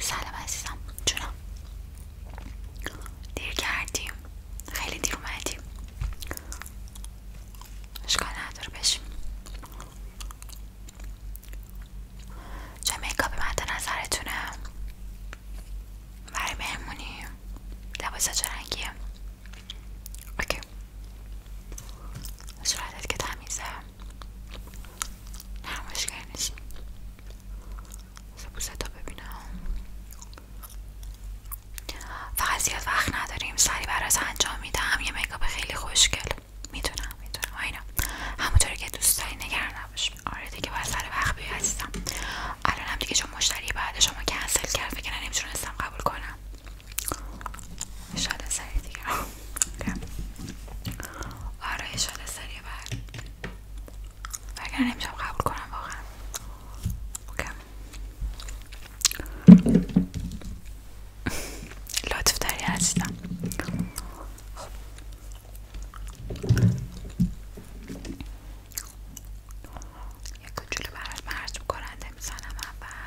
سلام عزیزم جونم دیر کردیم خیلی دیر اومدیم اشکال نداره بشیم چه میکاپی مد نظرتونه برای مهمونی لباسا چه رنگیه اوکی صورتت که تمیزه نرمشگر نشین سبوزه تا ببینم فقط زیاد وقت نداریم سری برات انجام میدم یه میکاپ خیلی خوشگل میتونم میتونم آینا همونطوری که دوست داری نگران نباش آره دیگه باید سر وقت بیای عزیزم الان هم دیگه چون مشتری بعد شما کنسل کرد فکر نمیتونستم قبول کنم اشاره سری دیگه آره اشاره سری بر اگر نمیشم قبول کنم واقعا لطف داری عزیزم خب یک کوچولو برات مرتوب کننده میزنم اول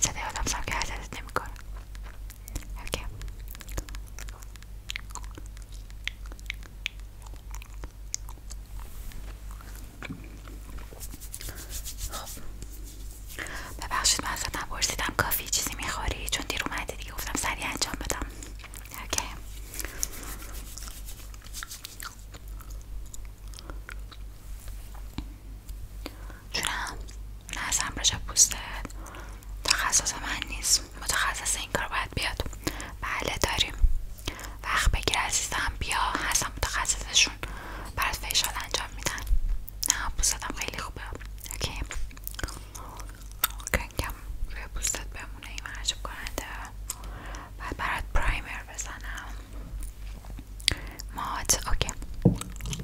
صدای آدم سم که حضرت نمی ببخشید من ازتم پرسیدم کافی چیزی میخوری چون دیر اومده دیگه گفتم سریع انجام بدم اوکی نه نظرم رجب پوستت تخصص من نیست متخصص این کار باید بیاد بله داریم وقت بگیر عزیزم بیا هستم متخصصشون برات فیشال انجام میدن نه پوستم خیلی خوبه اوکی کنکم روی پوستت بمونه این محجب کننده بعد برات پرایمر بزنم مات اوکی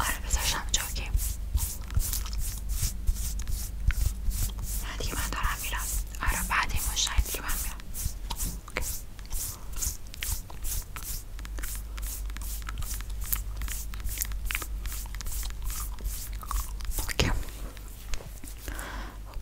آره بذاشتم اینجا نه دارم میرم آره شاید آره، اوکی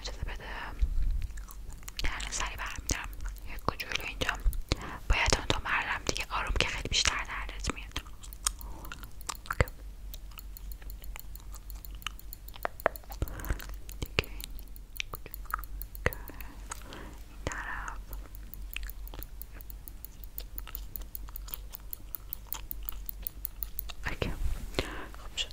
اجازه بده درن سری برمیدارم یک کجولو اینجا باید اون تو مردم دیگه آروم که خیلی بیشتر دردت میاد دیگه این طرف اوکی خوب شد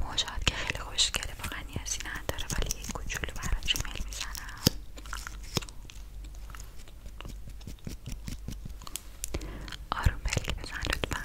موجات که خیلی خوشگله واقعا نیازی نداره ولی یک کوچولو برات ریمیل میزنم آروم پلک بزن لطفا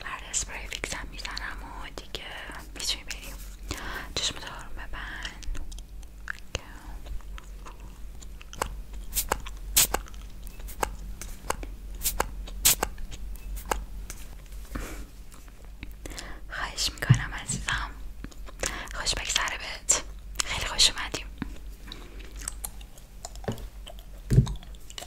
بعد آره، فیکس فیکسم میزنم و دیگه میتونیم بریم چشم دارم ببند خواهش میکنم عزیزم خوش بگذره بهت خیلی خوش اومدیم